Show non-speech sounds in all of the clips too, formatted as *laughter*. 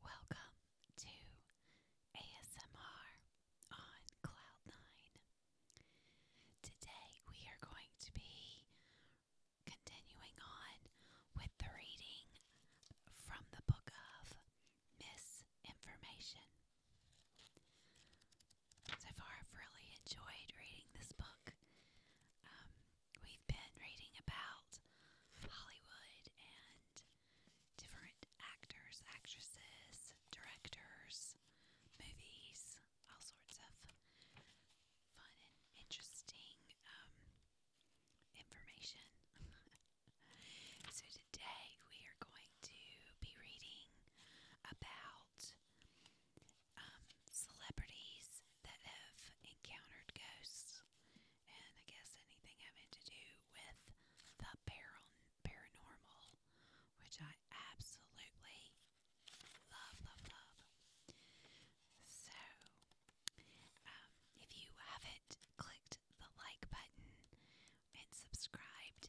Welcome to ASMR on cloud Today we are going to be continuing on with the reading from the book of Misinformation. So far, I've really enjoyed reading this book. Um, we've been reading about Hollywood and different actors, actresses, directors, movies, all sorts of fun and interesting um, information. *laughs* so, today we are going to be reading about um, celebrities that have encountered ghosts, and I guess anything having to do with the paranormal, which I absolutely love, love, love. So, um, if you haven't clicked the like button and subscribed,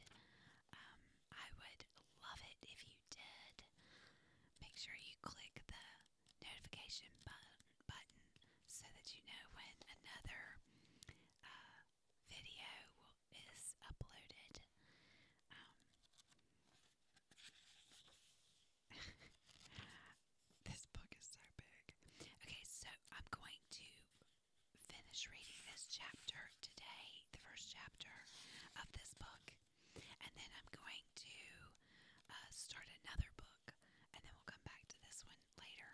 um, I would love it if you did. Make sure you click the notification button, so that you know when another uh, video is uploaded. Um, *laughs* this book is so big. Okay, so I'm going to finish reading this chapter today, the first chapter of this book, and then I'm going to uh, start another book, and then we'll come back to this one later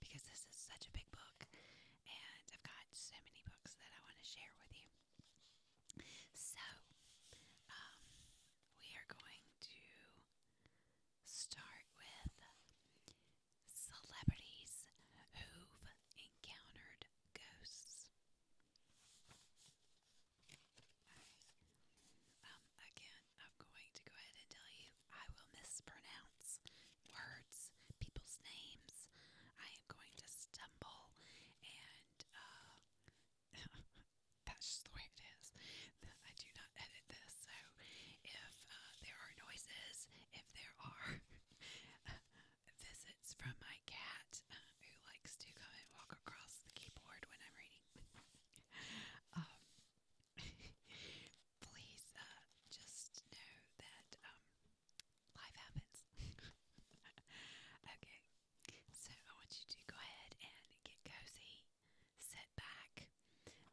because this is such a big book, and I've got so many books that I want to share with you. So, um, we are going to start with celebrities who've encountered ghosts. Um, again, I'm going to go ahead and tell you I will mispronounce words, people's names. I am going to stumble and, uh, *laughs* that's just the way it is. *laughs* I do not edit this, so if uh, there are noises, if there are *laughs* visits from my cat uh, who likes to come and walk across the keyboard when I'm reading, *laughs* um, *laughs* please uh, just know that um, life happens. *laughs* okay, so I want you to go ahead and get cozy, sit back.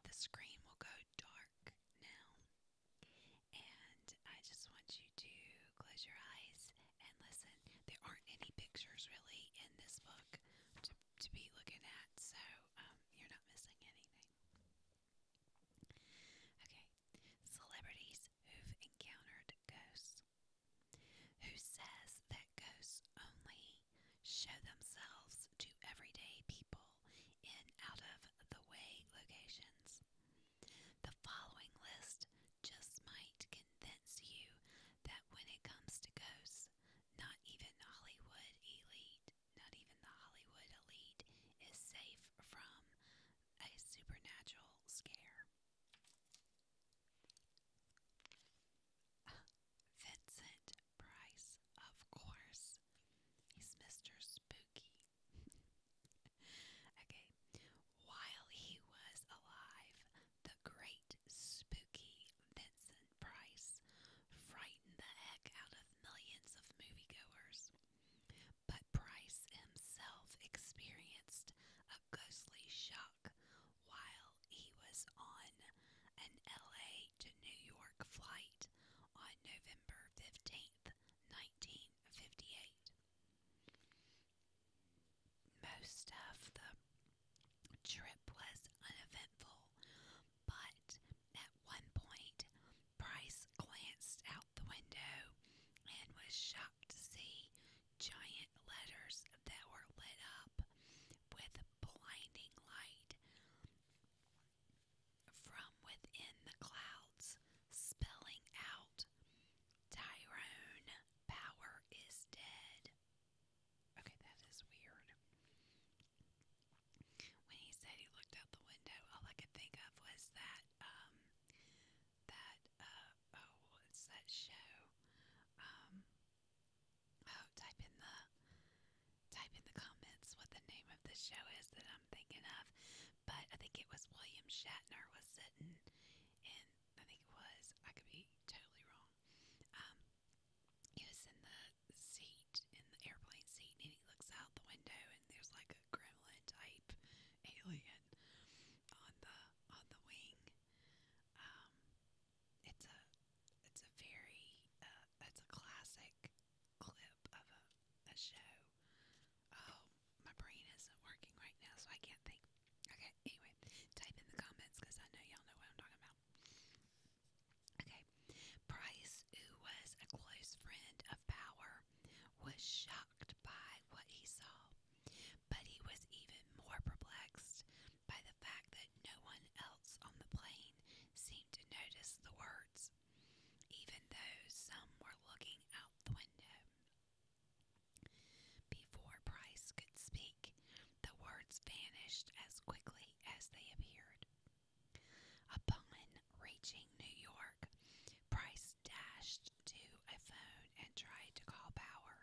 The screen will go dark now. And I just want you to close your eyes and listen. There aren't any pictures really in this book to, be looking at, so um, you're not missing anything. Okay, celebrities who've encountered ghosts. Who says that ghosts only show themselves to everyday people in out of the way locations? The following list just might convince you that when it comes to ghosts, not even Hollywood elite, not even the Hollywood elite, is safe from a supernatural scare. *laughs* Vincent Price, of course. He's Mr. Spooky. *laughs* okay. While he was alive, great spooky Vincent Price frightened the heck out of millions of moviegoers. But Price himself experienced a ghostly shock while he was on an LA to New York flight on November 15th, 1958. Most of the Trip was uneventful, but at one point Price glanced out the window and was shocked to see giant letters that were lit up with blinding light from within the clouds, spelling out Tyrone Power is dead. Okay, that is weird. When he said he looked out the window, all I could think of was that, um, that, uh, oh, it's that show, um, oh, type in the, type in the comments what the name of the show is that I'm thinking of, but I think it was William Shatner was sitting in, I think it was, I could be totally wrong, um, he was in the seat, in the airplane seat, and he looks out the window, and there's like a gremlin type alien on the on the wing. Um, it's a it's a very uh, it's a classic clip of a, a show. Oh, my brain isn't working right now, so I can't think. Okay, anyway, type in the comments because I know y'all know what I'm talking about. Okay. Price, who was a close friend of Power, was shocked by what he saw, but he was even more perplexed by the fact that no one else on the plane seemed to notice the words, even though some were looking out the window. Before Price could speak, the words vanished as quickly as they appeared. Upon reaching New York, Price dashed to a phone and tried to call Power.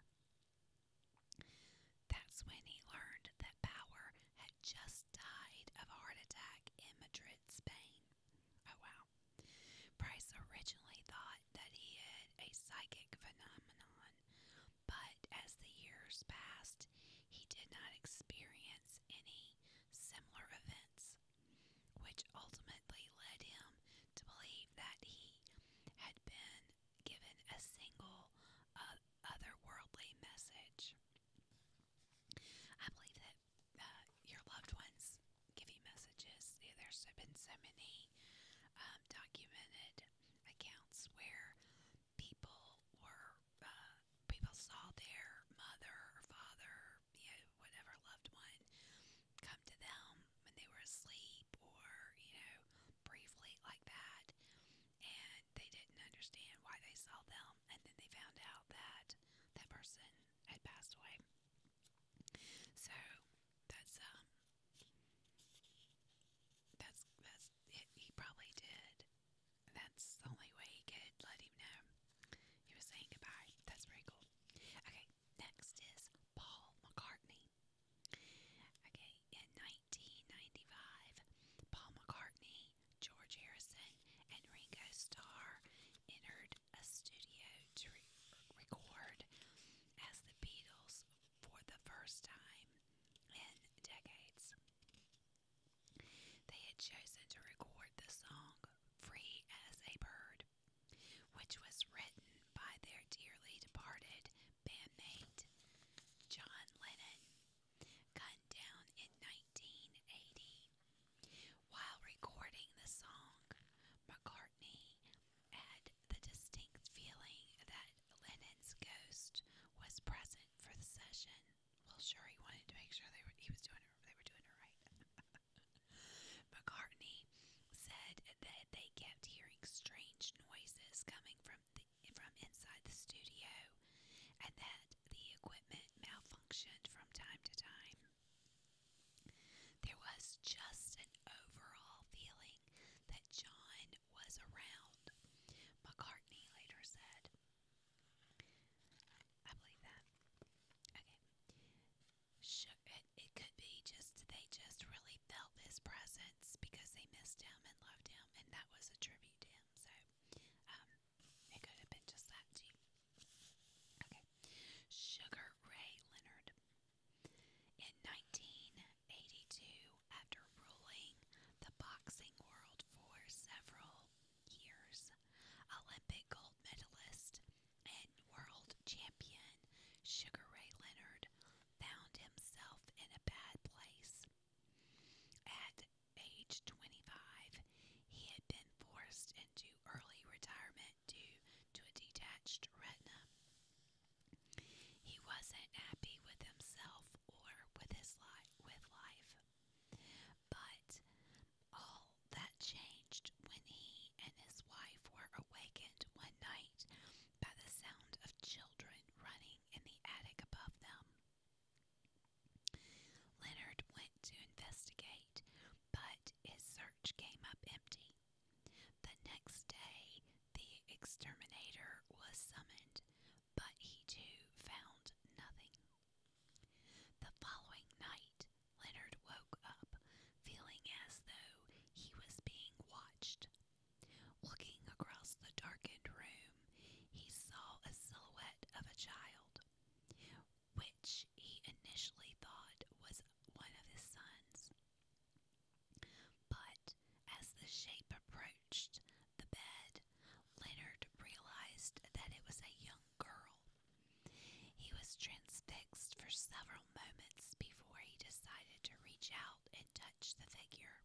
That's when he learned that Power had just died of a heart attack in Madrid, Spain. Oh wow. Price originally thought that he had a psychic phenomenon but as the years passed, he did not experience any similar events, which ultimately led him to believe that he had been given a single uh, otherworldly message. I believe that uh, your loved ones give you messages. There's been so many um, documented accounts where people were uh, people saw their mother or father, you know, whatever loved one, come to them when they were asleep or you know briefly like that, and they didn't understand why they saw them, and then they found out that that person had passed away. So that's um that's that's it. He probably did. That's the only way he could let him know he was saying goodbye. That's pretty cool. Okay, next is Paul McCartney. Okay, in 1995, Paul McCartney, George Harrison, and Ringo Starr entered a studio to record as the Beatles for the first time in decades. They had chosen to record the song Free as a Bird, which was written by their dearly departed bandmate John Lennon, gunned down in 1980. While recording the song, McCartney had the distinct feeling that Lennon's ghost was present for the session. Well, sure, he wanted to make sure they were, he was doing it, they were doing it right. *laughs* McCartney said that they kept hearing strange noises coming from the, from inside the studio, and that the equipment malfunctioned from time to time. There was just an overall feeling that John was around. McCartney later said, I believe that. Okay. Sure, it, it could be just they just really felt his presence because they missed him and loved him, and that was a tribute to him. So, um, it could have been just that too. Okay. Sugar Ray Leonard. In 19 82 after ruling the boxing world for several years. Olympic gold medalist and world champion Sugar Ray Leonard found himself in a bad place. At age 25, he had been forced into early retirement due to a detached retina. He wasn't happy with himself or with his life with life. But all that changed when he and his wife were awakened one night by the sound of children running in the attic above them. Leonard went to investigate, but his search came up empty. The next day, the exterminator was summoned, but he too found nothing. The following night, Leonard woke up feeling as though he was being watched. Looking across the darkened room, he saw a silhouette of a child, which he initially thought was one of his sons. But as the shape approached the bed, Leonard realized that it was a young girl. He was transfixed for several moments before he decided to reach out and touch the figure.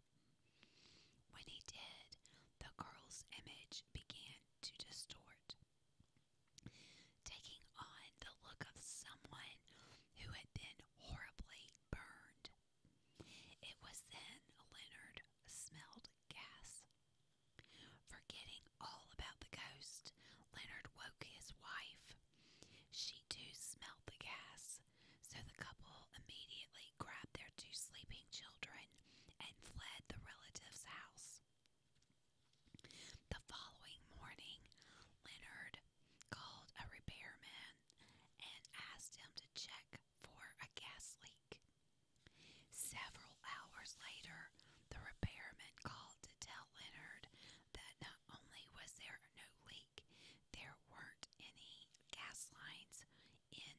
When he did, the girl's image began to distort, taking on the look of someone who had been horribly burned. It was then Leonard smelled gas. Forgetting all about the ghost, Leonard woke his wife. She too smelled the gas, so the couple immediately grabbed their two sleeping children and fled the relative's house. The following morning, Leonard called a repairman and asked him to check for a gas leak. Several hours later, the repairman called to tell Leonard that not only was there no leak, there weren't any gas lines in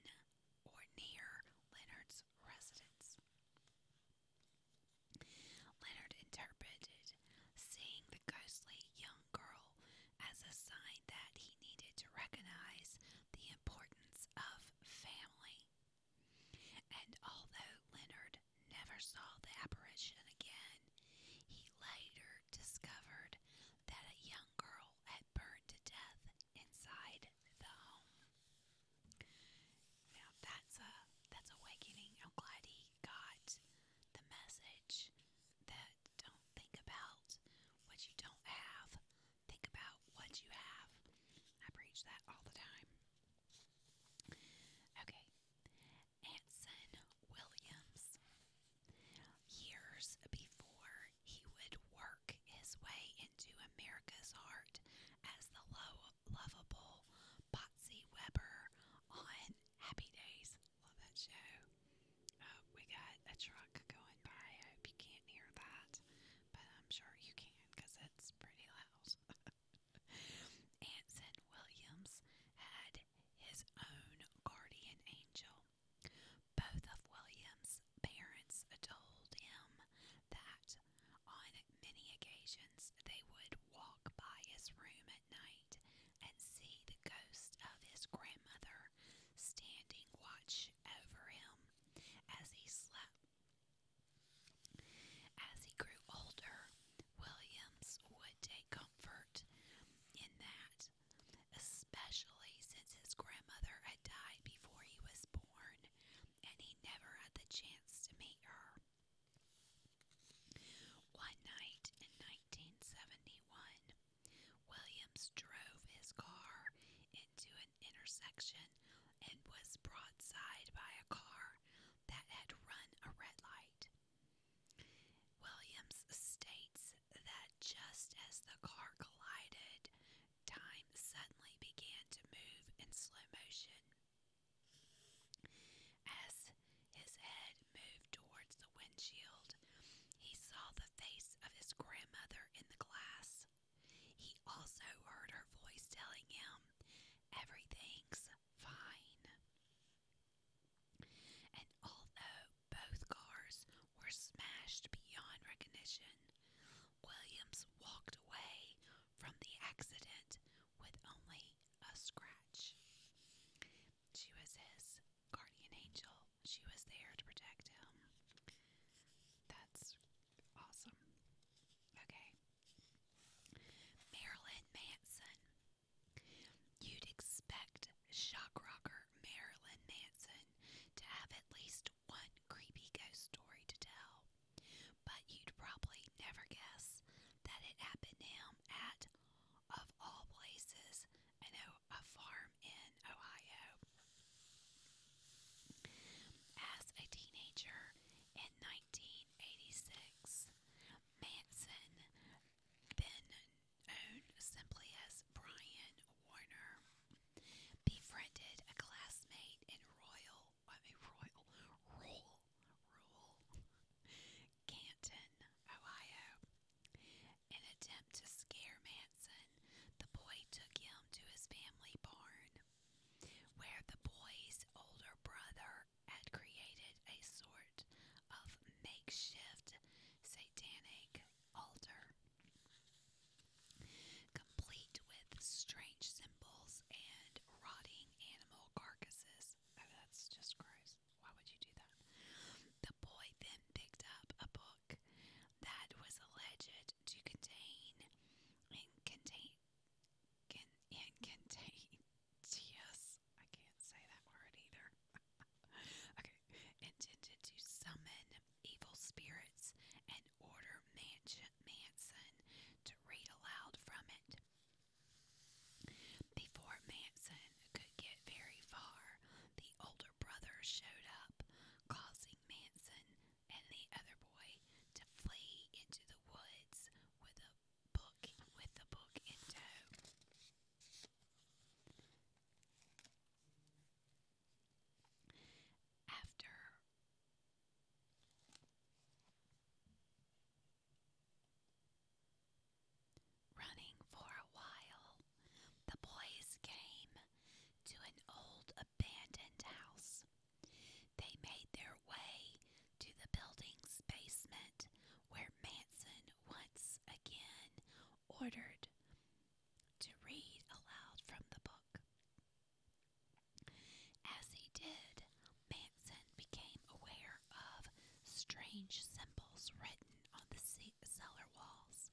or near Leonard's residence. Leonard interpreted seeing the ghostly young girl as a sign that he needed to recognize the importance of family. And although Leonard never saw the apparition again, he later discovered that a young girl had burned to death inside the home. Now that's a that's awakening. I'm glad he got the message that don't think about what you don't have. Think about what you have. I preach that all the time. Okay. Anson Williams. Years before he would work his way into America's heart as the lo lovable Botsy Weber on Happy Days, Love that show. Oh, we got a truck going by. I hope you can't hear that, but I'm sure you can because it's pretty loud. *laughs* Anson Williams had his own guardian angel. Both of Williams' parents told him that on many occasions they would walk by his room at night and see the ghost of his grandmother standing watch over him as he slept. As he grew older, Williams would take comfort in that, especially since his grandmother had died before he was born and he never had the chance to meet her. One night in 1971, Williams drove his car into an intersection and was broadside by a car that had run a red light. Williams states that just as the car collided, time suddenly began to move in slow motion. As his head moved towards the windshield, he saw the face of his grandmother in the glass. He also heard her voice telling him, Everything's fine. And although both cars were smashed beyond recognition, Williams walked away from the accident with only a scratch. She was his guardian angel. She was there to protect him. That's awesome. Okay. Marilyn Manson. You'd expect shock rocker Marilyn Manson to have at least one creepy ghost story to tell, but you'd probably never guess that it happened to him at, of all places, an a farm in Ohio. As a teenager in 1986, Manson, then known simply as Brian Warner, befriended a classmate in Royal, I mean Royal, Rural, Canton, Ohio an attempt to scare Manson, the boy took him to his family barn, where the boy's older brother had created a sort of makeshift satanic altar, complete with strange symbols and rotting animal carcasses. Oh, that's just gross. Why would you do that? The boy then picked up a book that was alleged to contain and contain can and contain yes, I can't say that word either. *laughs* okay, intended to summon evil spirits and order Manson, Manson to read aloud from it. Before Manson could get very far, the older brother showed up, causing Manson and the other boy to flee into the woods with a book with the book in tow. After Running for a while, the boys came to an old abandoned house. They made their way to the building's basement where Manson once again ordered to read aloud from the book. As he did, Manson became aware of strange symbols written on the cellar walls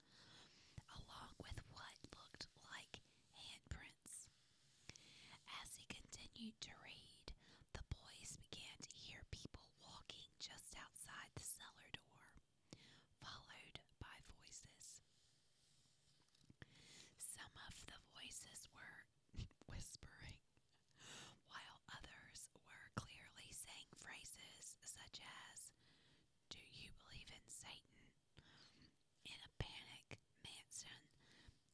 along with what looked like handprints. As he continued to read, the boys began to hear people walking just outside the cellar door, followed by voices. Some of the voices were *laughs* whispering, while others were clearly saying phrases such as, do you believe in Satan? In a panic, Manson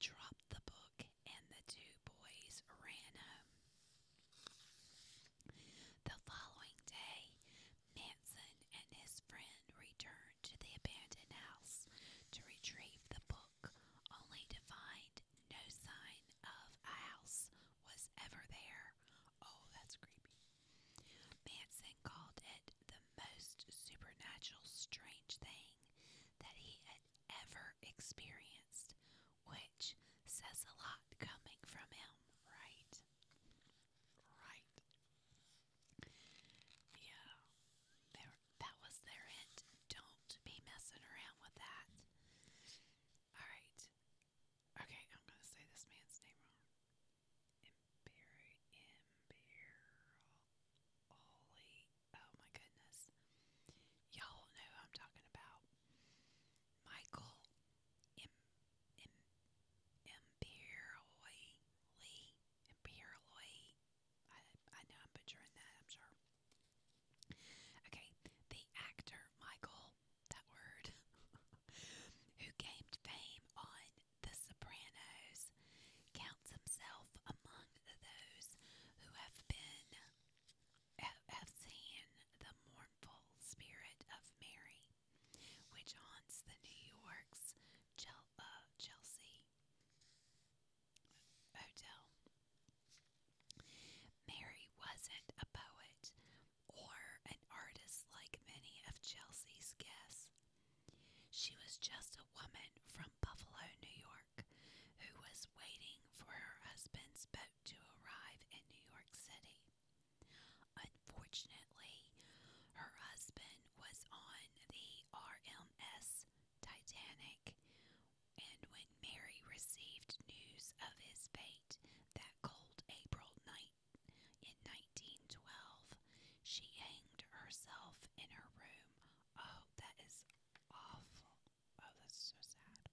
dropped the book and the two boys ran home. The following day, Manson and his friend returned to the abandoned house to retrieve the book, only to find no sign of a house was ever there. Oh, that's creepy. Manson called it the most supernatural, strange thing that he had ever experienced, which says a lot coming from him, right? Right. Yeah. There, that was their hint. Don't be messing around with that. Alright. Okay, I'm gonna say this man's name wrong. Imperial, Imperioli. Oh my goodness, y'all know I'm talking about. Michael, Im, Im, Imperioli, Imperioli. I I know I'm butchering that. I'm sure. Okay, the actor Michael that word, *laughs* who gained fame on The Sopranos, counts himself among those who have been have seen the mournful spirit of Mary, which haunts the New York's uh, Chelsea hotel. Mary wasn't a poet, or an artist like many of Chelsea's guests. She was just a woman from Buffalo, New York, who was waiting for her husband's boat to arrive in New York City. Unfortunately, her husband was on the RMS Titanic, and when Mary received news of his fate that cold April night in 1912, she hanged herself in her room. Oh, that is awful. Oh, that's so sad.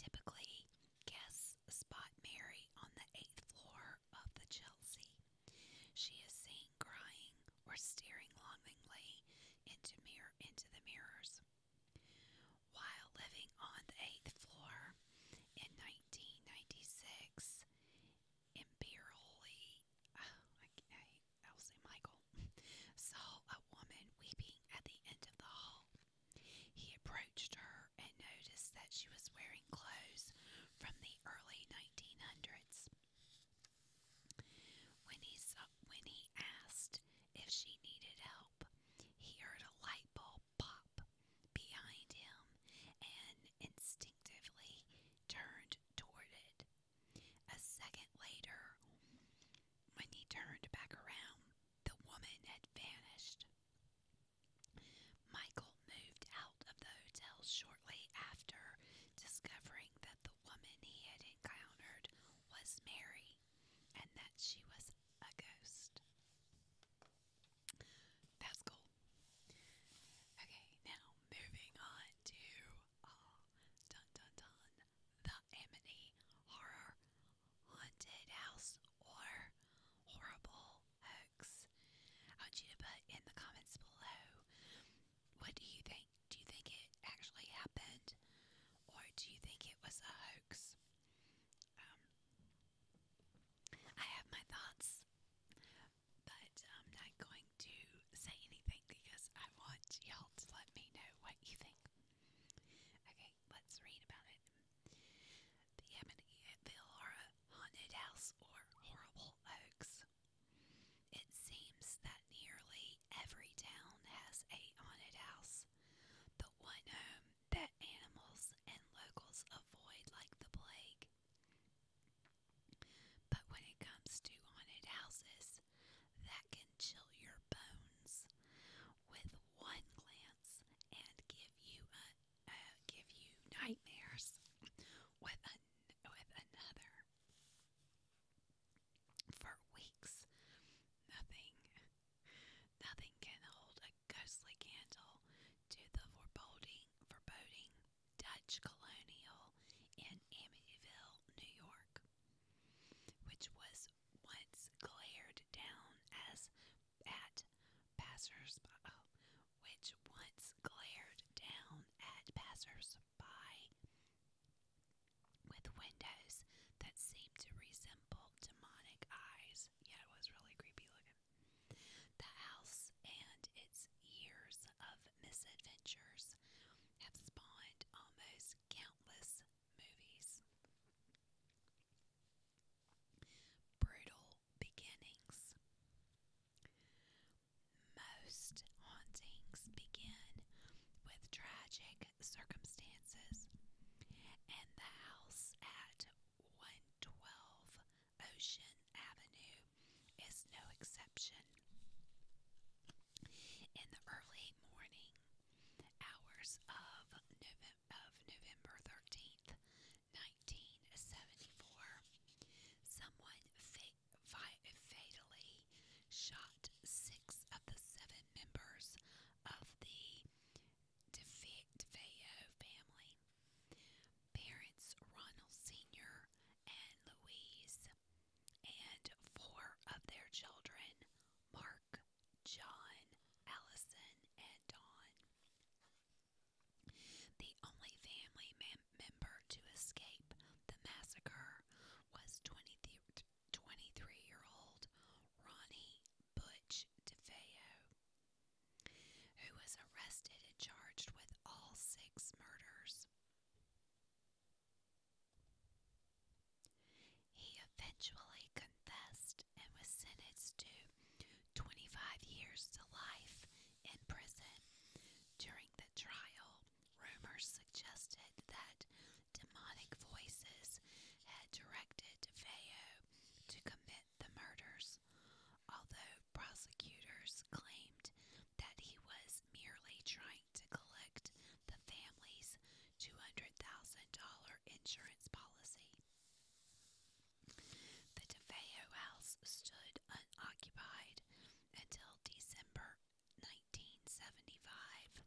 Typically, guests spot Mary on the eighth floor of the Chelsea. She is seen crying or staring longingly into mirror into the mirrors. While living on the eighth floor in 1996, imperially, *sighs* I, will say Michael, *laughs* saw a woman weeping at the end of the hall. He approached her and noticed that she was wearing clothes from the early 1900s. When he, when he asked if she needed help, he heard a light bulb pop behind him and instinctively turned toward it. A second later, when he turned back around, the woman had vanished. Michael moved out of the hotel shortly after discovering that the woman he had encountered was Mary and that she was a ghost. That's cool. Okay, now moving on to uh, dun dun dun the Amity Horror Haunted House or Horrible Hoax. I want you to put in the comments below what do you think? Do you think it actually happened? Or do you think it was a hoax? Um, I have my thoughts, but I'm not going to say anything because I want y'all to let me know what you think. Okay, let's read about it. The Amityville Horror Haunted House or Horrible Oaks. It seems that nearly every town has a haunted house. The one home that animals and locals avoid like the plague. But when it comes to haunted houses, that can chill your bones with one glance and give you uh, give you nightmares with another. For weeks, nothing nothing can hold ghostly candle to the foreboding, foreboding Dutch colonial in Amityville, New York, which was once glared down as at passers, oh, which once glared down at passersby with windows that seemed to resemble demonic eyes was yeah, it was really creepy looking. The house and its years of misadventures have spawned almost countless movies. Brutal beginnings. Most hauntings begin with tragic circumstances, and the house at one Ocean Avenue is no exception. In the early morning hours of, of November 13th, 1974, someone fatally shot six of the seven members of the DeFeo family. Parents Ronald Sr. and Louise, and four of their children Mark, John, Allison, and Don. The only family member to escape the massacre was 23 year old Ronnie Butch DeFeo, who was arrested and charged with all six murders. He eventually confessed and was sentenced to 25 years to life in prison. During the trial, rumors suggested that demonic voices had directed DeFeo to commit the murders, although prosecutors claimed that he was merely trying to collect the family's $200,000 insurance policy. The DeFeo house stood unoccupied until December 1975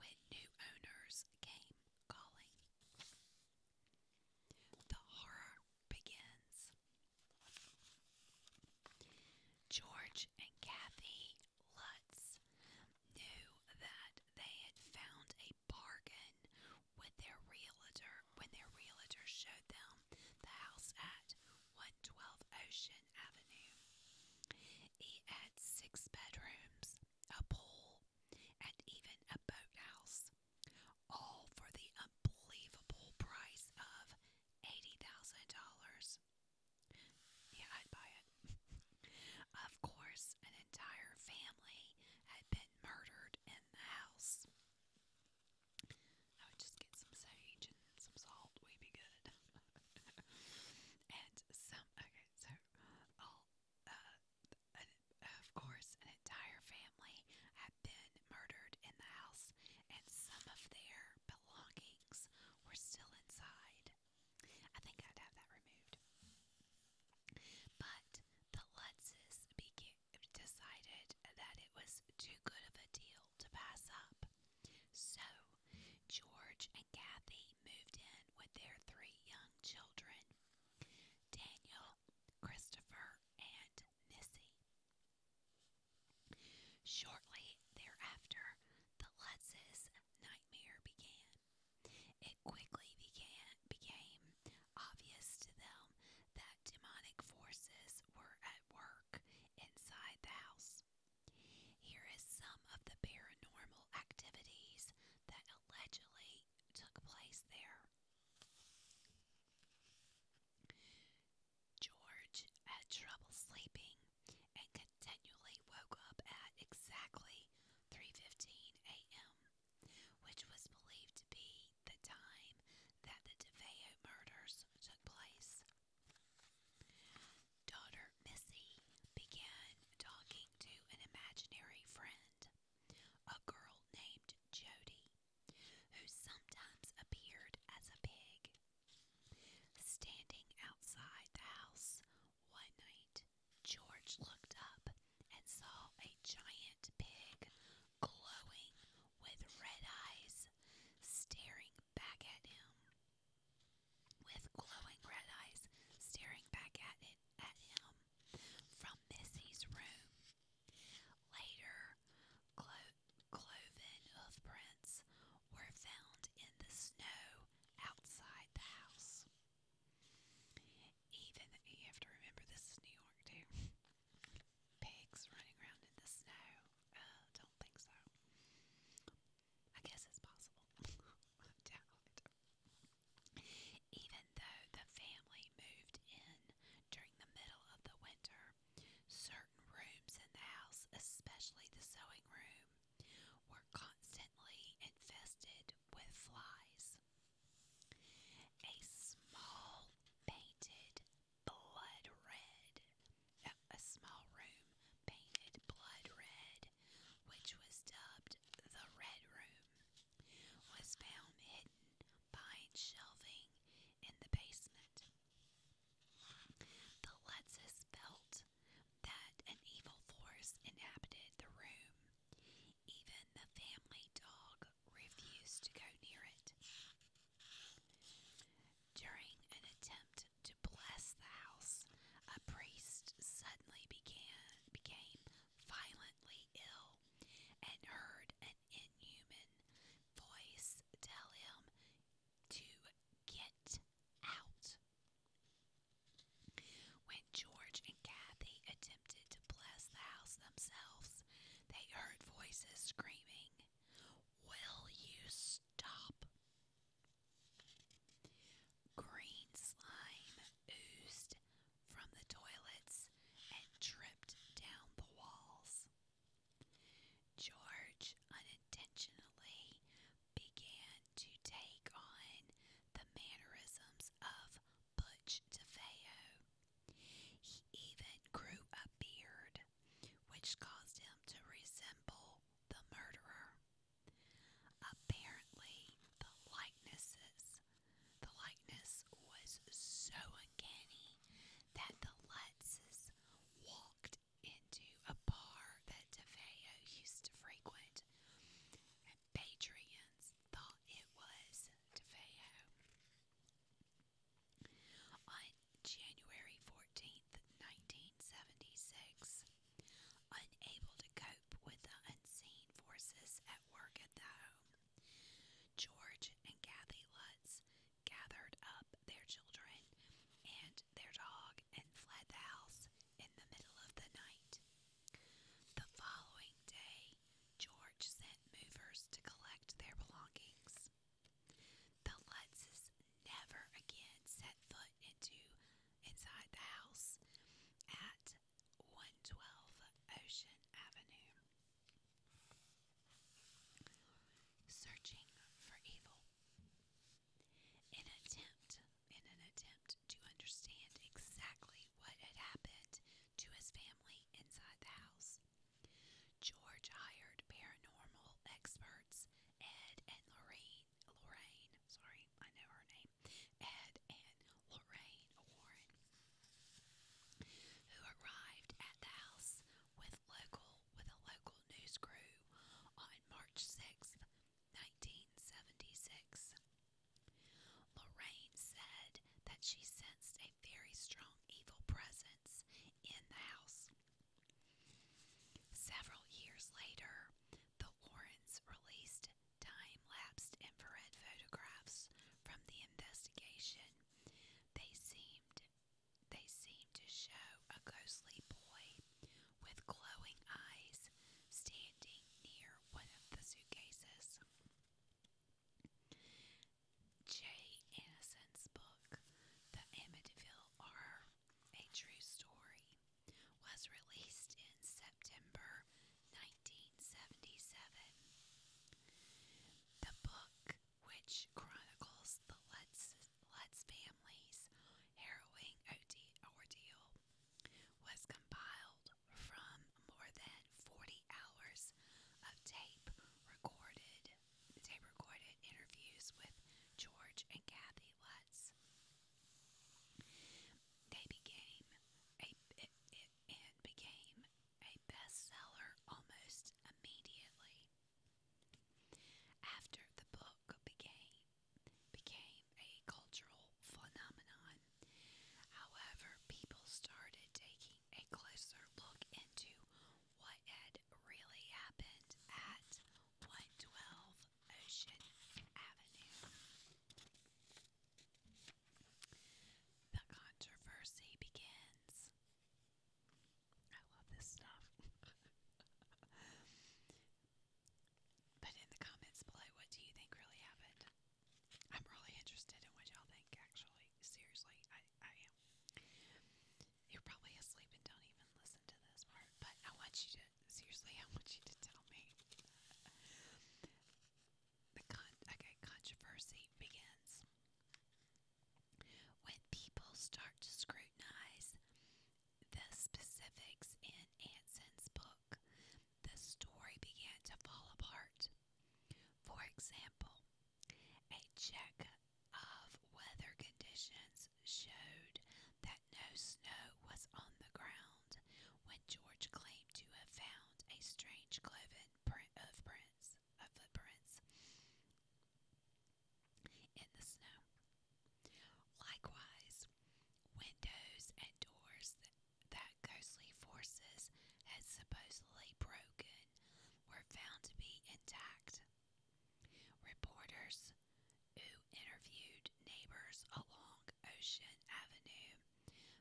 when new owners came calling. The horror begins. George and Kathy Lutz knew that they had found a bargain when their realtor showed them the house at 112 Ocean Avenue. It had six bedrooms, a pool, and even a boathouse all for the unbelievable price of $80,000. Yeah, I'd buy it. *laughs* of course, an entire family had been murdered in the house. I would just get some sage and some salt, we'd be good. *laughs* and some, okay, so all, uh, of course, an entire family had been murdered in the house, and some of their belongings were still inside. I think I'd have that removed. But the Lutzes decided that it was too good of a deal to pass up. So, George and Kathy moved in with their three young children. Daniel Christopher, and Missy. Shortly thereafter, the Lutz's nightmare began. It quickly began, became obvious to them that demonic forces were at work inside the house. Here is some of the paranormal activities that allegedly took place there. George had trouble sleeping and continually woke up at exactly 3:15 a.m., which was believed to be the time that the DeVeo murders took place. Daughter Missy began talking to an imaginary friend, a girl named Jody, who sometimes appeared as a pig. Standing outside the house one night, George looked up and saw a giant pig glowing with red eyes staring back at him. With glowing red eyes staring back at it at him from Missy's room. Later, clo cloven hoofprints were found in the snow outside the house. Even you have to remember this is New York too. Pigs running around in the snow. Uh, don't think so. I guess it's possible. *laughs* I doubt it. Even though the family moved in during the middle of the winter, certain rooms in the house, especially the sewing room, were constantly infested with flies. A small painted blood red, uh, a small room painted blood red, which was dubbed the Red Room, was found hidden behind shelving in the basement. The Lutzes felt that an evil force inhabited the room. Even the family dog refused to go near it. During an attempt to bless the house, a priest suddenly began became violently ill, and heard an inhuman voice tell him to get out. When George and Kathy attempted to bless the house themselves, they heard voices screaming, Will you stop? Green slime oozed from the toilets and tripped down the walls. George unintentionally began to take on the mannerisms of Butch DeFeo. He even grew a beard, which caused him to resemble the murderer. Apparently, the likenesses the likeness was so uncanny that the Lutzes walked into a bar that DeFeo used to frequent, and Patriots thought it was DeFeo. On January 14th, 1976, unable to cope with the unseen forces at work at the home, George and Kathy Lutz gathered up their children and their dog and fled the house in the middle of the night. The following day, George sent movers to collect their belongings. The Lutzes never again set foot into inside the house at 112 Ocean Avenue. Searching for evil. In attempt in an attempt to understand exactly what had happened to his family inside the house. George hired paranormal experts Ed and Lorraine Lorraine, sorry, I know her name. Ed and Lorraine Warren, who arrived at the house with local with a local news crew on March 6, 1976. Lorraine said that she sensed a very strong evil presence in the house. Several years later, the Warrens released Diane lapsed infrared photographs from the investigation, they seemed they seemed to show a ghostly boy with glowing eyes standing near one of the suitcases. J. Innocent's book, The Amityville Horror, A True Story, was released in September 1977. The book, which chronicles the Letts, Letts family's harrowing ordeal, was compiled from more than 40 hours of tape recorded tape recorded interviews with George and Kathy Lutz. They became a, and became a bestseller almost immediately. After the book became became a cultural phenomenon, however, people started taking a closer look into what had really happened at 112 Ocean Avenue. The controversy begins. I love this stuff. *laughs* but in the comments below, what do you think really happened? I'm really interested in what y'all think, actually. Seriously, I, I am. You're probably asleep and don't even listen to this part, but I want you to, seriously, I want you to tell me the con okay, controversy begins. When people start to scrutinize the specifics in Anson's book, the story began to fall apart. For example, a check of weather conditions showed that no snow was on the ground when George claimed to have found a strange cloven print of print footprints of footprints in the snow. Likewise, windows and doors that, that ghostly forces had supposedly broken were found to be intact. Reporters who interviewed neighbors along Ocean Avenue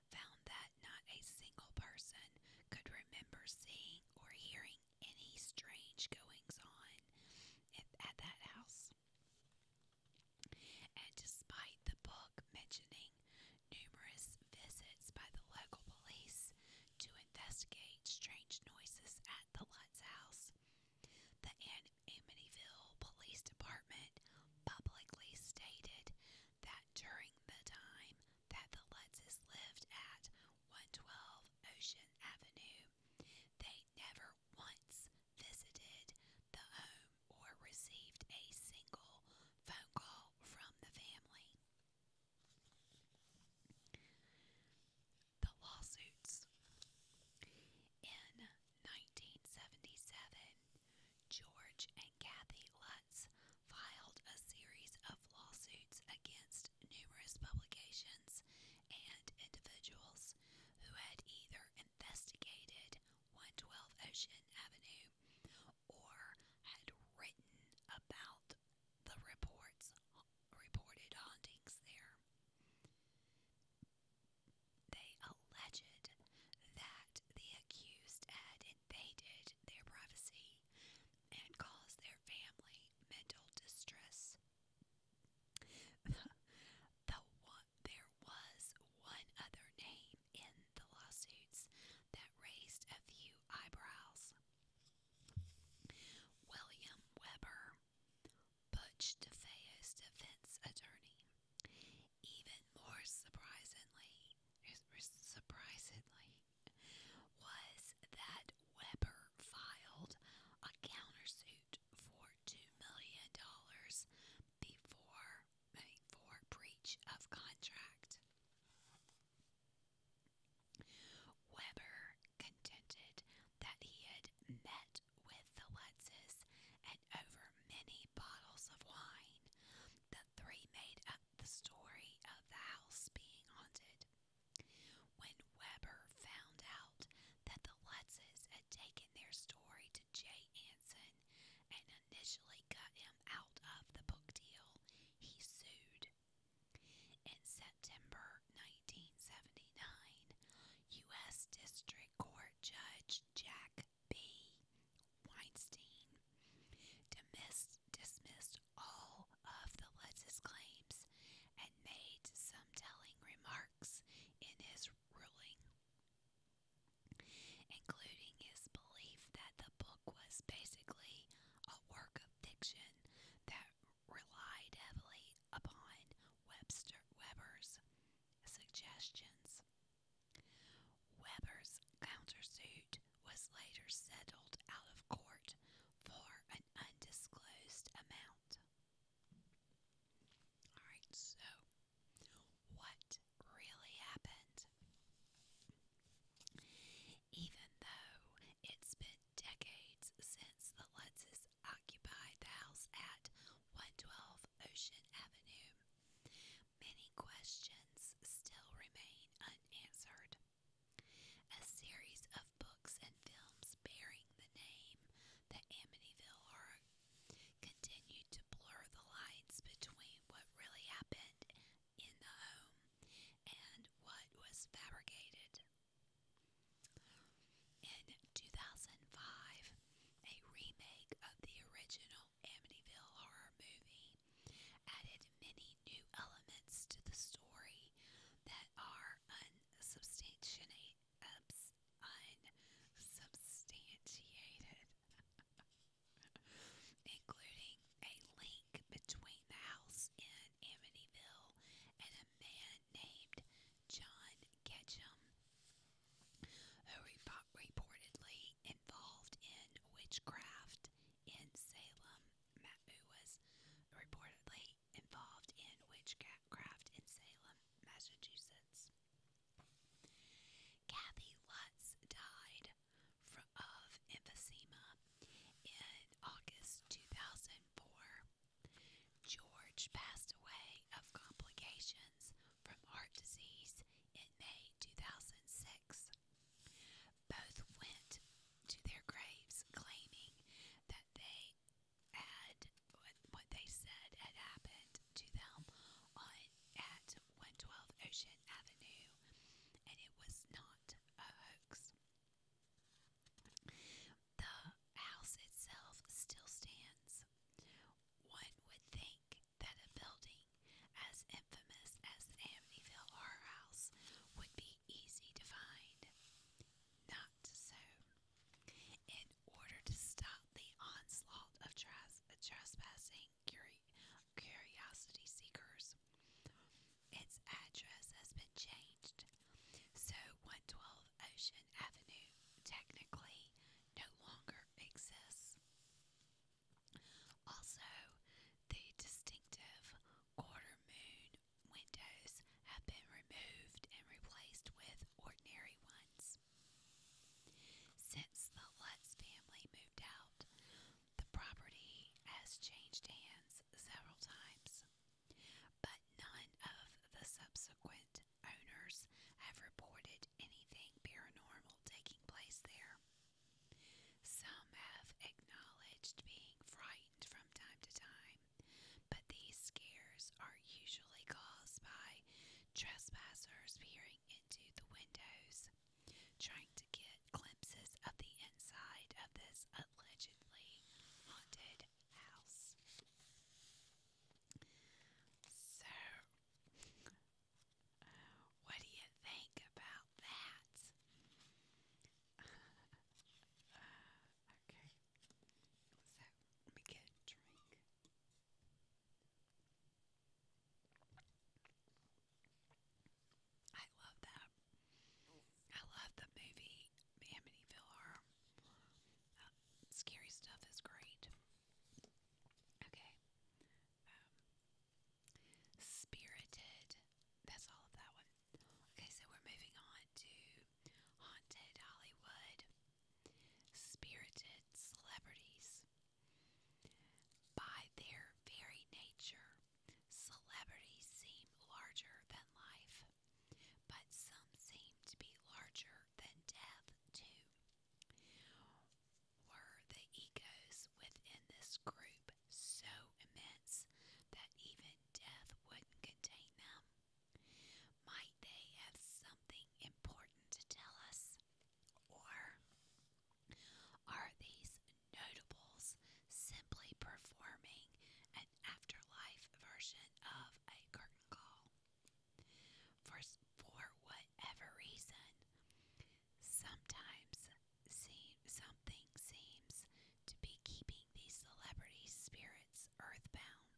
found that not a single person could remember seeing or hearing any strange goings on at, at that house. And despite the book mentioning numerous visits by the local police to investigate strange noises at the Lutz house, the Amityville Police Department publicly stated that during the time that the Lutzes lived at 112 Ocean Avenue, they never once visited the home or received a single phone call from the family. The lawsuits. In 1977, George and Kathy Lutz filed a series of lawsuits against numerous publications and individuals who had either investigated 112 Ocean Avenue or had written about the reports reported hauntings there. They alleged that the accused had they did their privacy and caused their family mental distress. Though *laughs* there was one other name in the lawsuits that raised a few eyebrows. William Weber, Butch DeFeo's defense attorney. Even more surprisingly, surprisingly, was that Weber filed a countersuit for $2 million before, I mean, for breach of contract. Weber contended that he had met with the Lutzes and over many bottles of wine the three made up the story of the house being haunted. When Weber found out that the Lutzes had taken their story to Jay Anson and initially cut him out of the book deal, he sued. In September 1979, U.S. District Court Judge Jack B. Weinstein dismissed, dismissed all of the Lutz's claims, and made some telling remarks in his ruling, including his belief that the book was basically a work of fiction that relied heavily upon Webster Weber's suggestions. Weber's countersuit was later settled out of court for an undisclosed amount. Alright, so what really happened? Even though it's been decades since the Lutzes occupied the house at 112 Ocean Avenue, many questions still remain unanswered. A series of books and films bearing the name The Amityville Horror continued to blur the lines between what really happened in the home and what was fabricated. In 2005, a remake of the original Amityville Horror movie added many new elements to the story that are unsubstantiated. unsubstantiated *laughs* including a link between the house in Amityville and a man named John Ketchum, who repo reportedly involved in witchcraft in Salem. Who was reportedly involved in witchcraft in Salem, Massachusetts. Kathy Lutz died of emphysema in August 2004. George passed away of complications from heart disease in May 2006. Both went to their graves claiming that they had what they said had happened to them on at 112 Ocean Avenue, and it was not a hoax. The house itself still stands. One would think that a building as infamous as the Amityville Horror House would be easy to find. Not so. In order to stop the onslaught of tras trespassing curi curiosity seekers, its address has been changed. So 112 Ocean Avenue technically no longer exists. Also, the distinctive quarter moon windows have been removed and replaced with ordinary ones. Since the Lutz family moved out, the property has changed hands several times, but none of the subsequent owners have reported anything paranormal taking place there. Some have acknowledged being frightened from time to time, but these scares are usually caused by trespassers peering into the windows, trying to get glimpses of the inside of this allegedly haunted house. So, what do you think about that? *laughs* okay. So, let get drink. I love that. I love the movie Amityville scary stuff is great. Okay spirited. That's all of that one. Okay, so we're moving on to Haunted Hollywood. Spirited celebrities. By their very nature, celebrities seem larger than life, but some seem to be larger than death, too. Were the egos within this group so immense that even death wouldn't contain them. Might they have something important to tell us? Or are these notables simply performing an afterlife version of a curtain call? For, for whatever reason, Sometimes something seems to be keeping these celebrity spirits earthbound.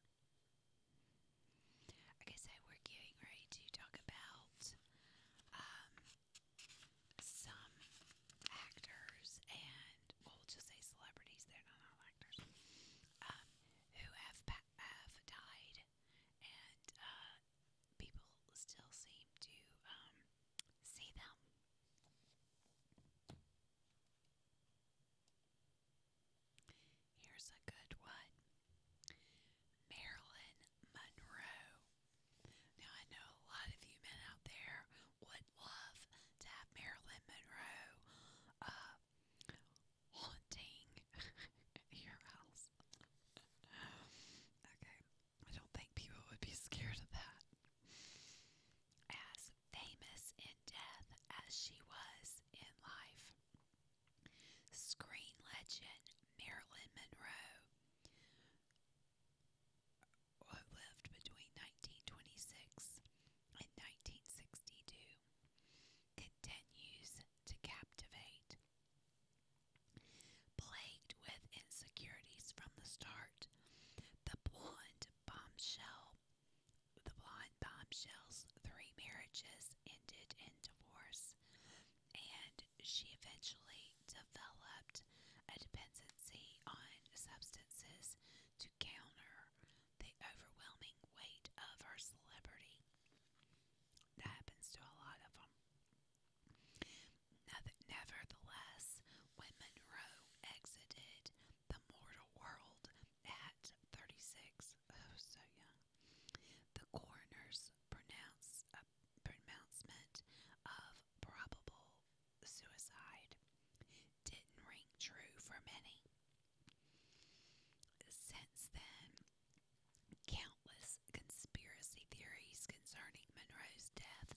I guess I we're getting ready to talk about um, some actors and, we'll just say celebrities, they're not actors, um, who have, have died and uh, people still seem to um, see them. Here's a good one Marilyn Monroe. Now, I know a lot of you men out there would love to have Marilyn Monroe uh, haunting *laughs* your house. *laughs* okay. I don't think people would be scared of that. As famous in death as she was in life, screen legend Marilyn Monroe, who lived between 1926 and 1962, continues to captivate. Plagued with insecurities from the start, the blonde bombshell, the blonde bombshell's three marriages ended in divorce, and she eventually developed a dependency on substances to counter the overwhelming weight of her celebrity. That happens to a lot of them. Nevertheless, when Monroe exited the mortal world at 36, so young, the coroner's uh, pronouncement of probable suicide didn't ring true for many. Since then, countless conspiracy theories concerning Monroe's death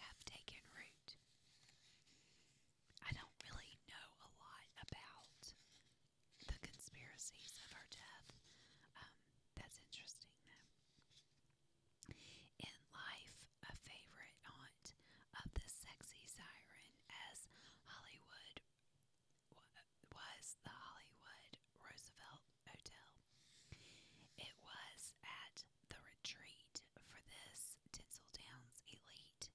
have taken root. I don't really know a lot about the conspiracies of her death. Um, that's interesting, though. In life, a favorite aunt of the sexy siren, as Hollywood was the Hollywood Roosevelt Hotel. It was at the retreat for this Tinseltown's elite,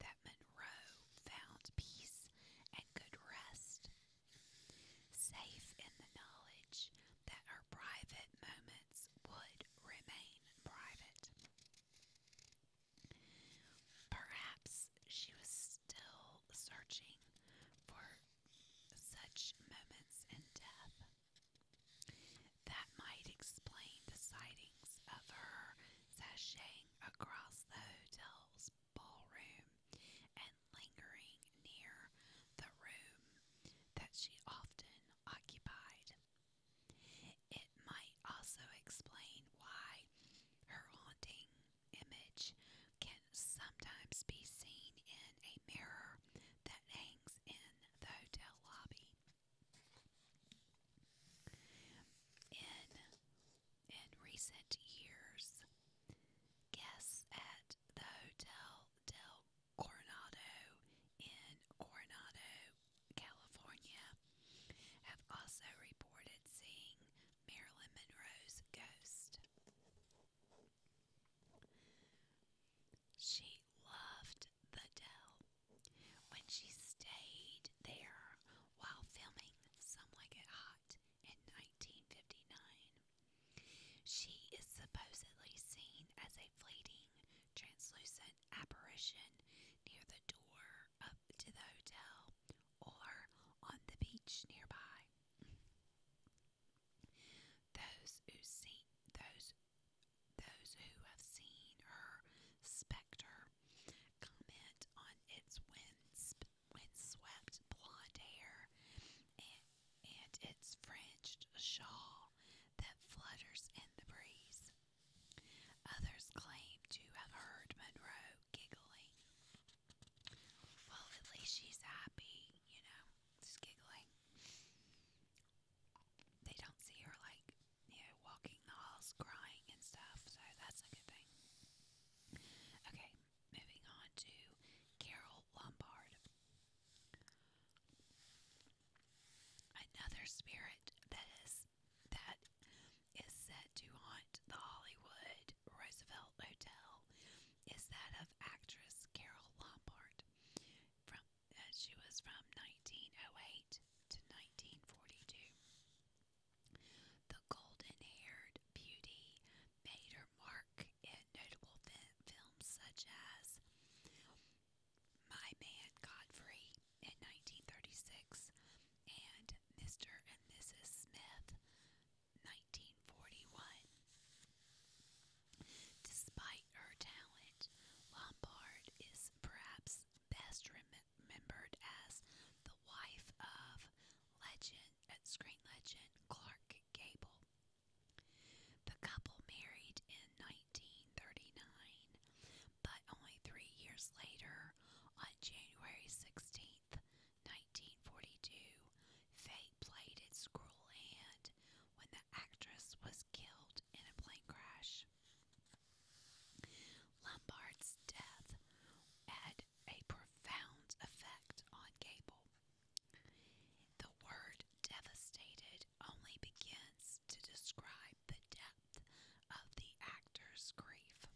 that Monroe found peace and good rest, safe in the knowledge that her private moments would remain private. Perhaps she was still searching for such moments in death. That might explain the sightings of her sashaying across the hotel's ballroom and lingering near the room that she often occupied. It might also explain why her haunting image can sometimes be seen in a mirror that hangs meetings in the hotel lobby. In in recent years, guests at the Hotel del Coronado in Coronado, California, have also reported seeing Marilyn Monroe's ghost. She loved the Dell. When she stayed there while filming Some Like It Hot in 1959, she is supposedly seen as a fleeting, translucent apparition near the door up to the hotel or on the beach nearby. Those who see those those who have seen her specter comment on its wind windswept blonde hair and its fringed shawl that flutters in the breeze. Others claim to have heard Monroe giggling. Well, at least she's happy, you know, just giggling they don't see her like you know walking halls crying and stuff. So that's a good thing. Okay, moving on to Carol Lombard. Another spirit that is that is said to haunt the Hollywood Roosevelt Hotel is that of actress Carol Lombard from as she was from 1908 to 1942. The golden-haired beauty made her mark in notable films such as My Man Godfrey in 1936 and Mr. and Mrs. Smith 1941. Despite her talent, Lombard is perhaps best remembered as the wife of legend, uh, screen legend Clark Gable. The couple married in 1939, but only three years later, on January 16th, 1942, Faye played its cruel hand when the actress was killed in a plane crash. Lombard's death had a profound effect on Gable. The word devastated only begins to describe the depth of the actor's grief.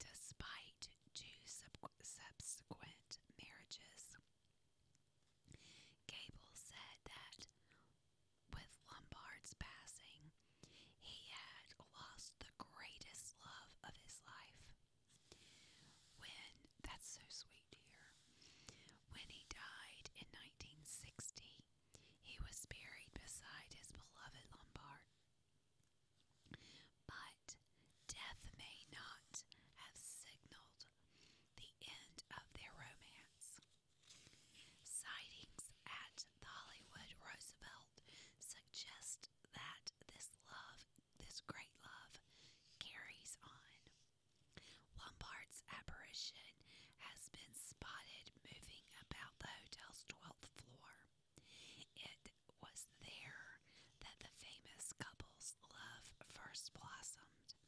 Despite two subsequent marriages, Gable said that with Lombard's passing, he had lost the greatest love of his life. When, that's so sweet, dear, when he died in 1960, he was buried beside his beloved Lombard. But death may not have signaled the end of their romance. Sightings at the Hollywood Roosevelt suggest that this love, this great love, carries on. Lombard's apparition has been spotted moving about the hotel's 12th floor. It was there that the famous couple's love first blossomed it.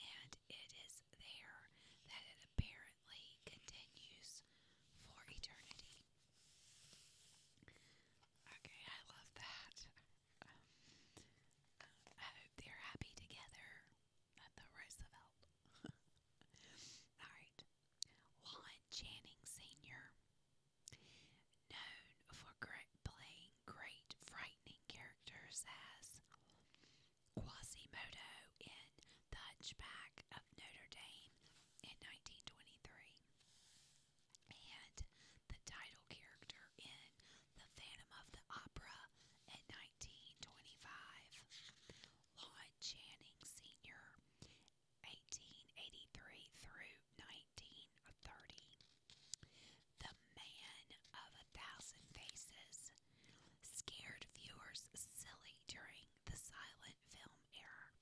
And it is there that it apparently continues for eternity. Okay, I love that. Um, *laughs* I hope they're happy together at the Roosevelt. *laughs* Alright. Lon Channing Sr., known for great playing great, frightening characters as Quasimodo in The Hunchback of Notre Dame in 1923, and the title character in The Phantom of the Opera in 1925. Lon Channing Sr. 1883 through 1930 the man of a thousand faces, scared viewers silly during the silent film era.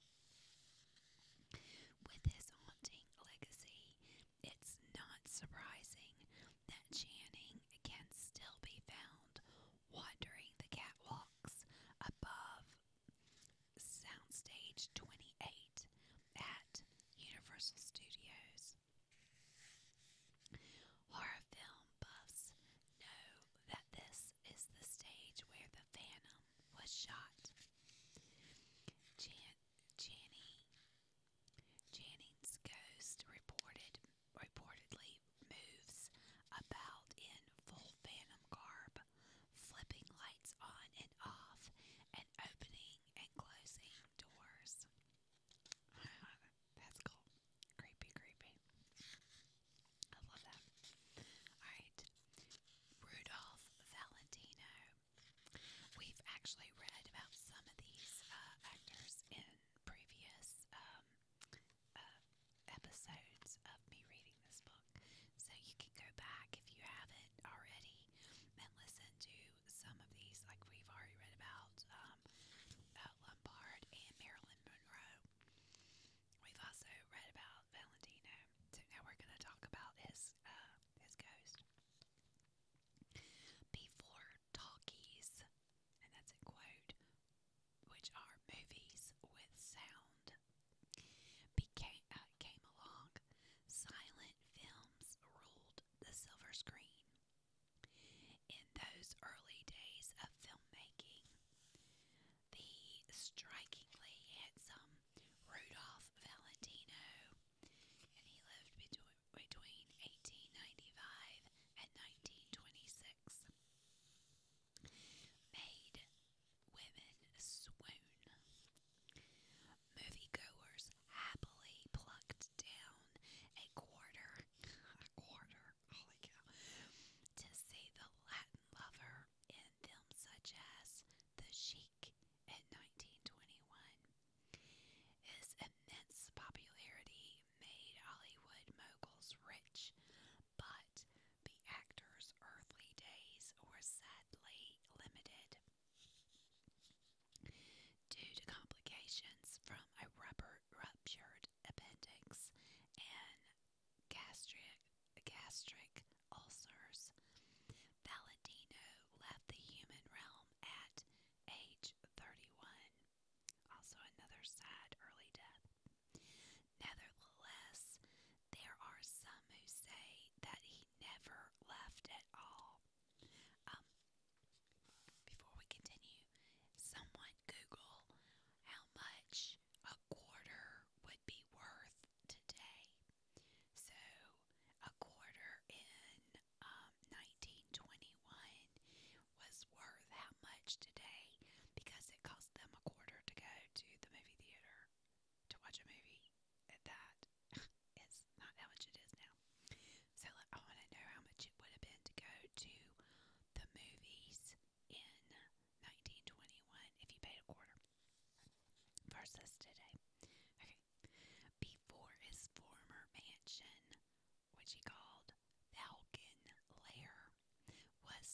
With his haunting legacy, it's not surprising that Channing can still be found wandering the catwalks above Soundstage 28 at Universal Studios. Horror film buffs know that this is the stage where the Phantom was shot. Jan Janny ghost reported reportedly moves about in full phantom garb, flipping lights on and off and opening and closing doors. *sighs* That's cool. Creepy, creepy. I love that. Alright. Rudolph Valentino. We've actually read about some of these uh, actors in previous um, uh, episodes of me reading this book. So you can go back if you haven't already and listen to some of these, like we've already read about um, uh, Lombard and Marilyn Monroe. We've also read about Valentino. So now we're going to talk about his uh, his ghost. Before talkies, and that's a quote, which are movies with sound, became uh, came along. Silent films ruled the silver screen. In those early days of filmmaking, the strikingly handsome Rudolph Valentino, and he lived between, 1895 and 1926, made women swoon moviegoers happily plucked down a quarter, a quarter, holy cow, to see the Latin lover in films such as The Sheik in 1921. His immense popularity made Hollywood moguls rich, but the actor's earthly days were sadly limited Due to complications from a ruptured appendix and gastric, gastric ulcers, Valentino left the human realm at age 31. Also, another sad early death. Nevertheless, there are some who say that he never left at all. Um, before we continue, someone Google how much a quarter would be worth today. So, a quarter in um, 1921 was worth how much today because it cost them a quarter to go to the movie theater to watch a movie at that it's not how much it is now. So I want to know how much it would have been to go to the movies in 1921 if you paid a quarter versus today. Okay. Before his former mansion, which he called Falcon Lair, was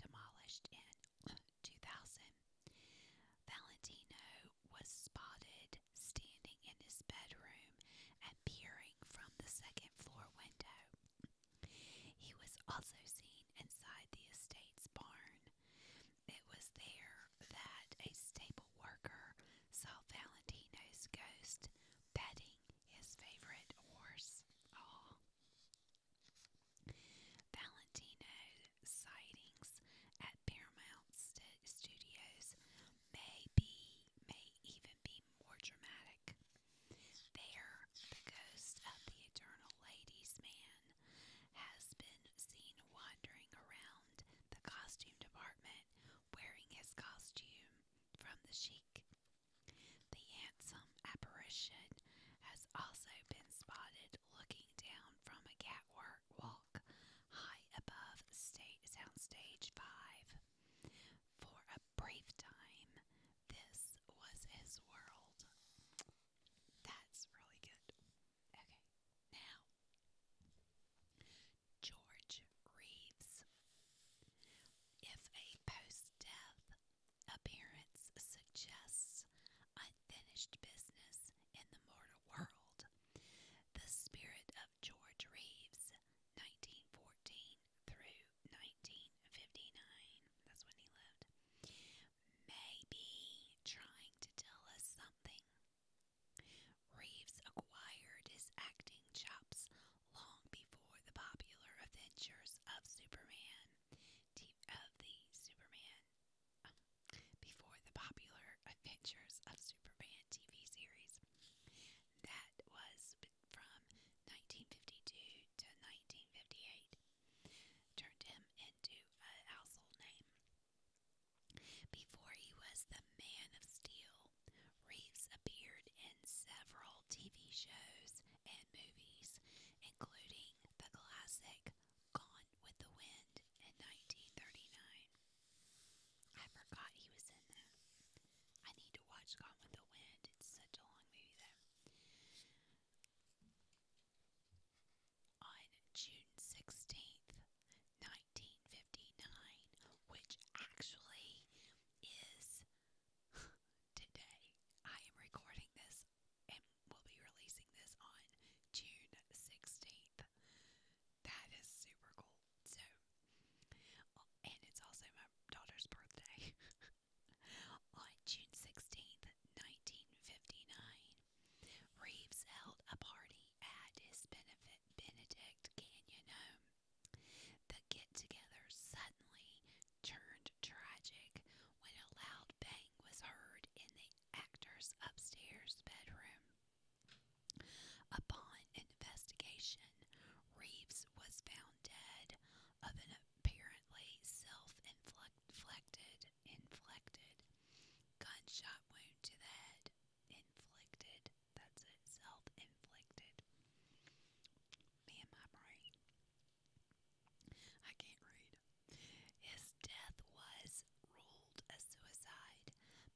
demolished in 2000, Valentino was spotted standing in his bedroom and peering from the second floor window. He was also seen inside the estate's barn. It was there that a stable worker saw Valentino's ghost petting his favorite horse. Aww. Valentino's sightings at Paramount St- Studios may be, may even be more dramatic. There, the ghost of the Eternal Ladies Man has been seen wandering around the costume department wearing his costume from the chic. The handsome apparition has also been spotted looking down from a catwalk wall high above state Soundstage 5. For a brief time, this was his world. That's really good. Okay, now, George Reeves. If a post death appearance suggests unfinished business in the mortal world, the Spirit of George Reeves, 1914 through 1959. That's when he lived. May trying to tell us something. Reeves acquired his acting chops long before the popular adventures of Superman, of the Superman, before the popular Adventures of Superman TV series. That was from 1952 to 1958. Turned him into a household name. Before he was the Man of Steel, Reeves appeared in several TV shows and movies, including the classic Gone with the Wind in 1939. I forgot he was in that. I need to watch Gone with the Wind. It's such a long movie, though. On June 16th, 1959, which actually is *laughs* today, I am recording this and will be releasing this on June 16th. That is super cool. So, oh, and it's also my daughter's birthday. *laughs* On June 16th, 1959, Reeves held a party at his Benedict Canyon home. The get together suddenly turned tragic when a loud bang was heard in the actor's upstairs bedroom. Upon investigation, Reeves was found dead of an apparently self-inflicted gunshot wound to the head. Inflicted. That's Self-inflicted. Man, my brain. I can't read. His death was ruled a suicide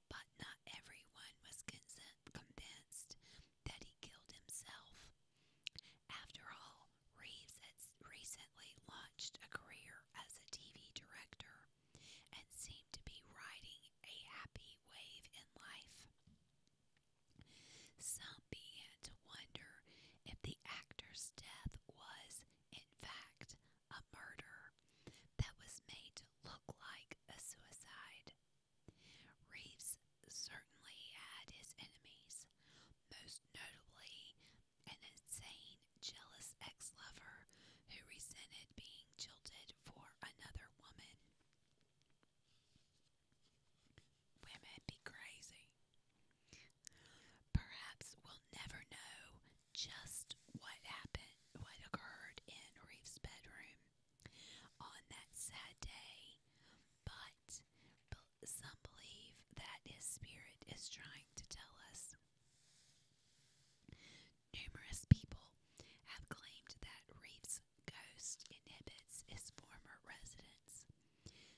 but not everyone was convinced that he killed himself. After all, Reeves had recently launched a career as a TV director and seemed to be riding a happy wave in life. Some began to wonder if the actor's death was, in fact, a murder that was made look like a suicide. Reeves certainly had his enemies, most notably an insane, jealous ex lover who resented being jilted for another woman. Women be crazy. Perhaps we'll never know just what happened, what occurred in Reeves' bedroom on that sad day, but some believe that his spirit is trying to tell us. Numerous people have claimed that Reeves' ghost inhibits his former residence.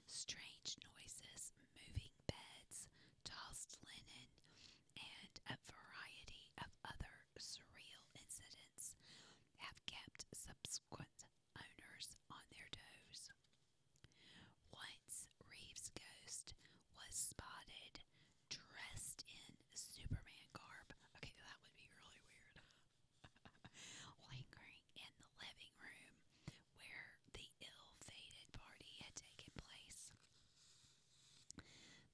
Strange noises, moving beds, tossed linen, and a variety of other surreal incidents have kept subsequent owners on their toes. Once Reeves' ghost was spotted dressed in Superman garb. Okay, that would be really weird. *laughs* Lingering in the living room where the ill fated party had taken place.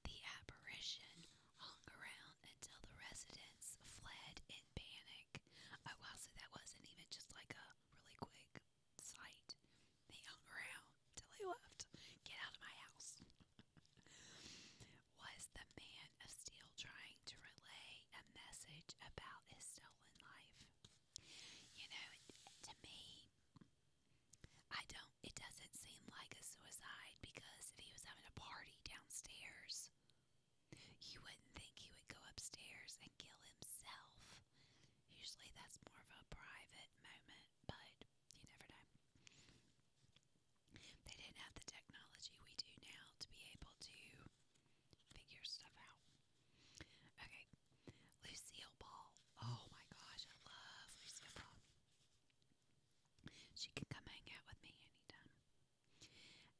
The apparition hung around until the residents fled in panic. Oh wow, so that wasn't even just like a really quick sight. They hung around till they left. Get out of my house. *laughs* Was the man of steel trying to relay a message about his stolen life? You know, to me, I don't, it doesn't seem like a suicide because if he was having a party downstairs, you wouldn't think he would go upstairs and kill himself. Usually that's more of a private moment, but you never know. They didn't have the technology we do now to be able to figure stuff out. Okay, Lucille Ball. Oh my gosh, I love Lucille Ball. She can come hang out with me anytime.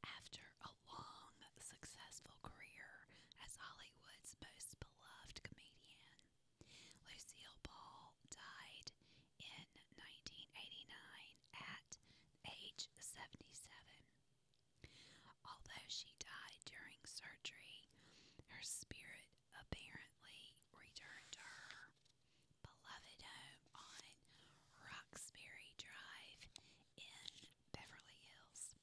After a long, successful career as Hollywood's most beloved comedian, Lucille Ball died in 1989 at age 77. Although she died during surgery, her spirit apparently returned to her beloved home on Roxbury Drive in Beverly Hills.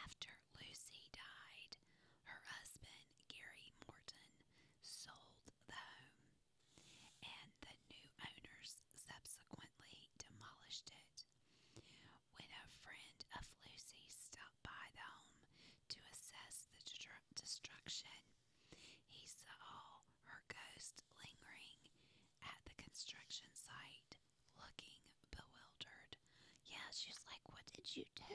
After Lucy died, her husband, Gary Morton, sold the home, and the new owners subsequently demolished it. When a friend of Lucy's by the home to assess the destruction. He saw her ghost lingering at the construction site, looking bewildered. Yeah, she's like, What did you do?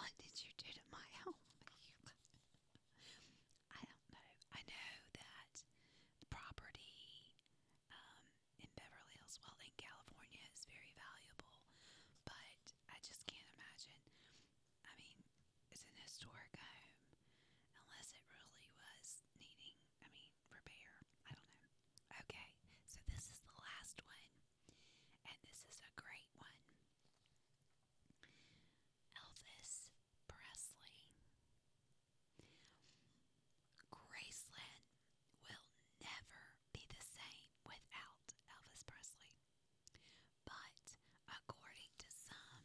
What did you do to my home? *laughs* I know. I know that property um, in Beverly Hills, well, in California, is very valuable, but I just can't imagine. I mean, it's an historic home, unless it really was needing, I mean, repair. I don't know. Okay, so this is the last one, and this is a great one. Elvis Presley. Graceland will never be the same without Elvis Presley. But according to some,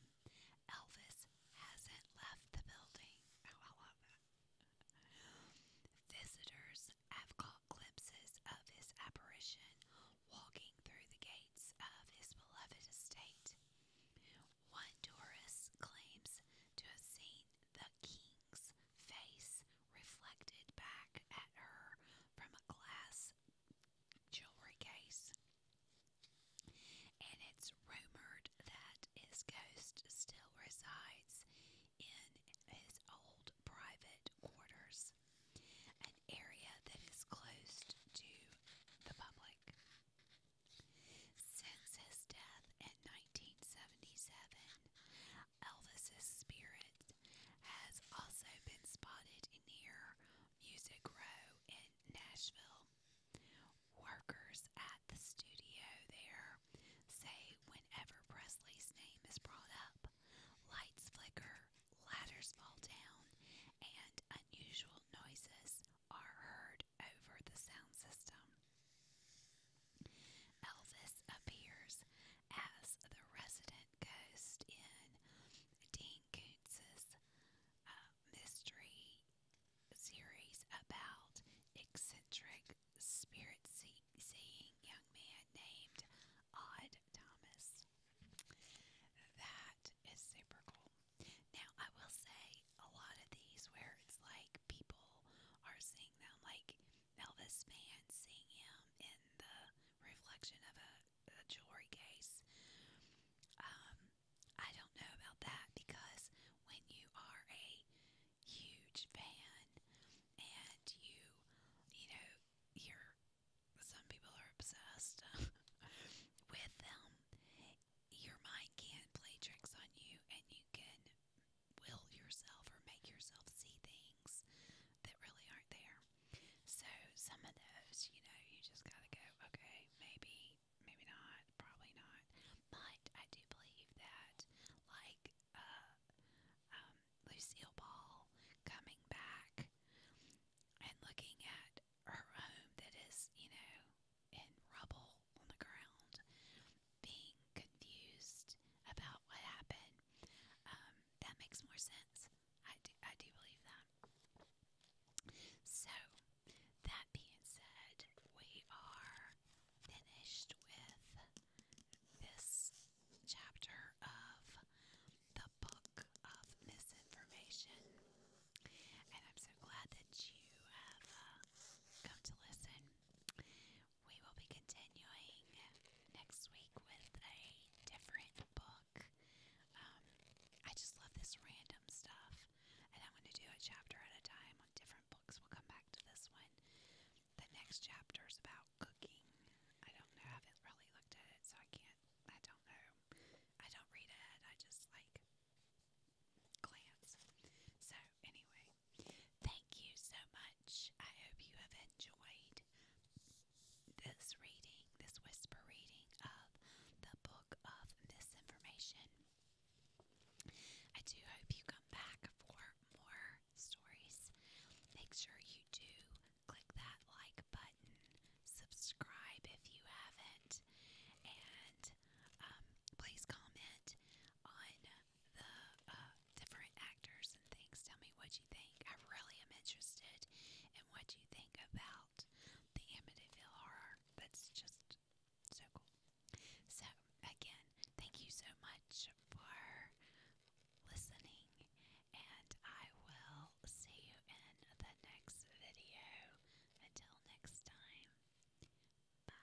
Elvis hasn't left the building. Oh, Visitors have caught glimpses of his apparition walking through the gates of his beloved estate. One tourist claims to have seen the king's face reflected back at her from a glass this jewelry case, and it's rumored that his ghost still resides in his old private quarters, an area that is closed to the public. Since his death in 1977, Elvis's spirit has also been spotted near Music Row in Nashville. Workers at the studio there say whenever Presley's name is brought up, lights flicker, ladders fall down, and unusual noises are heard over the sound system. Elvis appears as the resident ghost in Dean Koontz's uh, mystery series about eccentric spirit see seeing young man named Odd Thomas. That is super cool. Now I will say a lot of these where it's like people are seeing them like Elvis man seeing him in the reflection of a a jewelry case. Um, I don't know about that because when you are a huge fan and you, you know, you're some people are obsessed *laughs* with them. Your mind can play tricks on you, and you can will yourself or make yourself see things things that really aren't there. So some of those, you know, you just gotta go, okay, maybe, maybe not, probably not. But I do believe that, like, uh, um, Lucille Ball coming back and looking at her home that is, you know, in rubble on the ground, being confused about what happened, um, that makes more sense. I do, I do believe that. So, that being said, we are finished with this chapter of the Book of Misinformation. And I'm so glad that you have uh, come to listen. We will be continuing next week with a different book. Um, I just love this random stuff, and I'm going to do a chapter at a time on different books. We'll come back to this one. The next chapter is about cooking. I don't know. I haven't really looked at it, so I can't. I don't know. I don't read ahead. I just like glance. So, anyway, thank you so much. I hope you have enjoyed this reading, this whisper reading of the book of misinformation. I do hope you come back for more stories. Make sure you do click that like button, subscribe if you haven't, and um, please comment on the uh, different actors and things. Tell me what you think. I really am interested what you think about the Amityville horror. That's just so cool. So, again, thank you so much for listening, and I will see you in the next video. Until next time, bye.